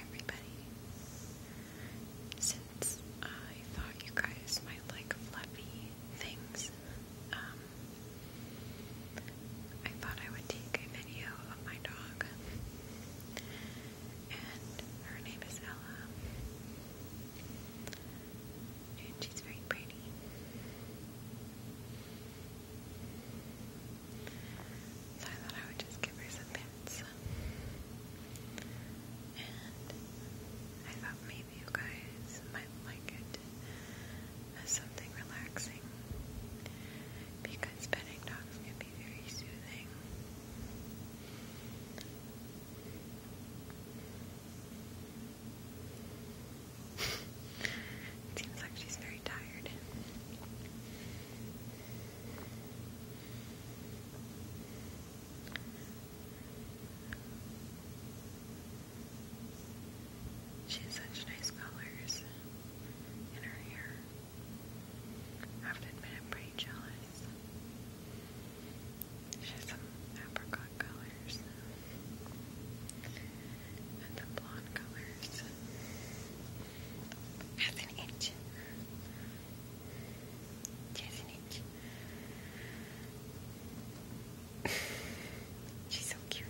everybody. Since I thought you guys might like fluffy things, um, I thought I would take a video of my dog. And her name is Ella. And she's very pretty. So I thought I would just give her some pets. And I thought maybe you guys might like it as something relaxing. Because petting dogs can be very soothing seems like she's very tired. She has such nice colors in have to admit, I'm pretty jealous. She has some apricot colors the blonde colors. Half an inch. Just an inch. She's so cute.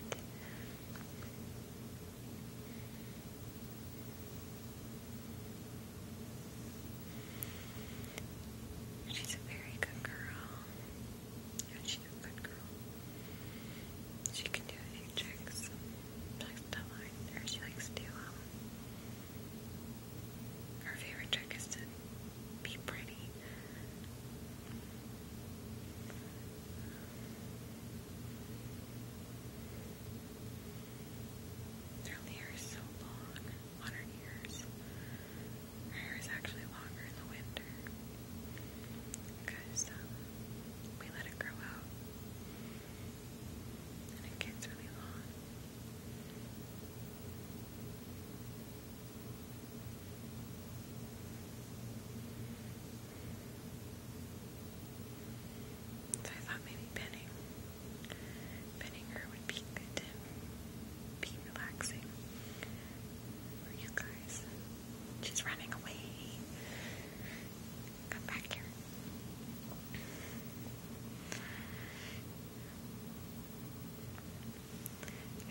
She's a very good girl. She's girl. She can do a tricks. likes to learn, or she likes to, um, her favorite trick is to be pretty. Her hair is so long on her Her hair is actually longer in the winter because we let it grow out and it gets really long. So I thought maybe pinning, pinning her would be good to be relaxing for you guys. She's running away. Come back here.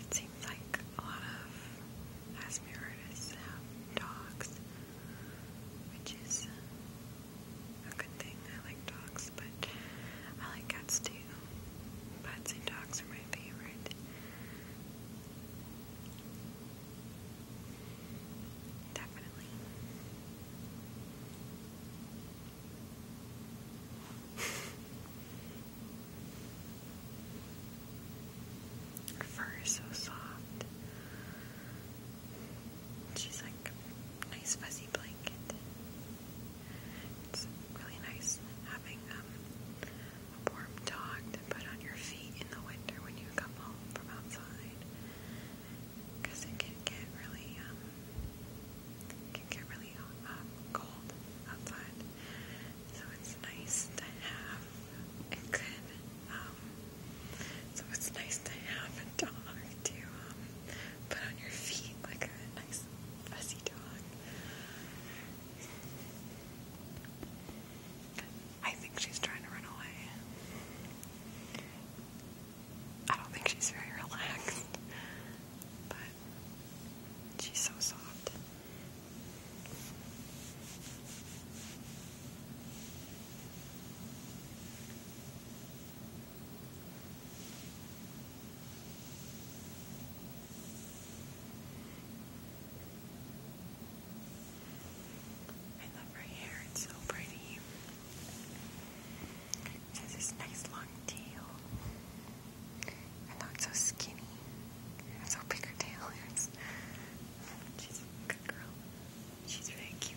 It seems like a lot of asthma have um, dogs, which is a good thing. I like dogs, but I like cats too. Bats and dogs are my favorite. Definitely. Her fur is so soft. She's like a nice fuzzy blanket. It's really nice having um, warm dog to put on your feet in the winter when you come home from outside because it can get really um, can get really uh, cold outside so it's nice to have it could um, so it's nice to have a dog to um, put on your feet like a nice fuzzy dog I think she's trying to run away. I don't think she's very relaxed, but she's so soft. I love her hair, it's so pretty. She has this nice long tail. not so skinny. so big her tail is. She's a good girl. She's really cute.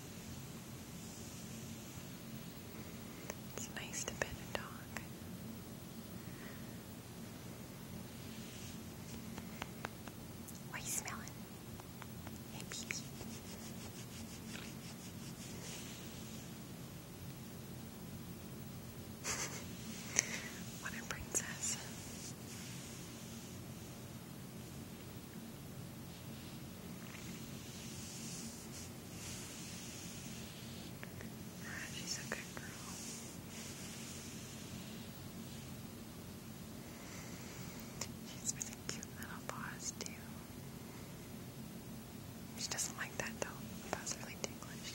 It's nice to pet a dog. What are Hey, pee what a princess she's a good girl. She's with a cute little paws too. She doesn't like that though. The paws really ticklish.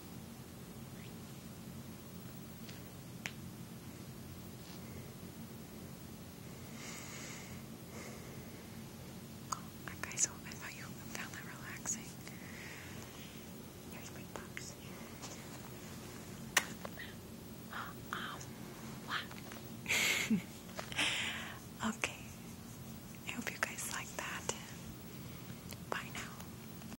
Oh, guys, I thought you found that relaxing. Here's my box. Um, okay. I hope you guys like that. Bye now.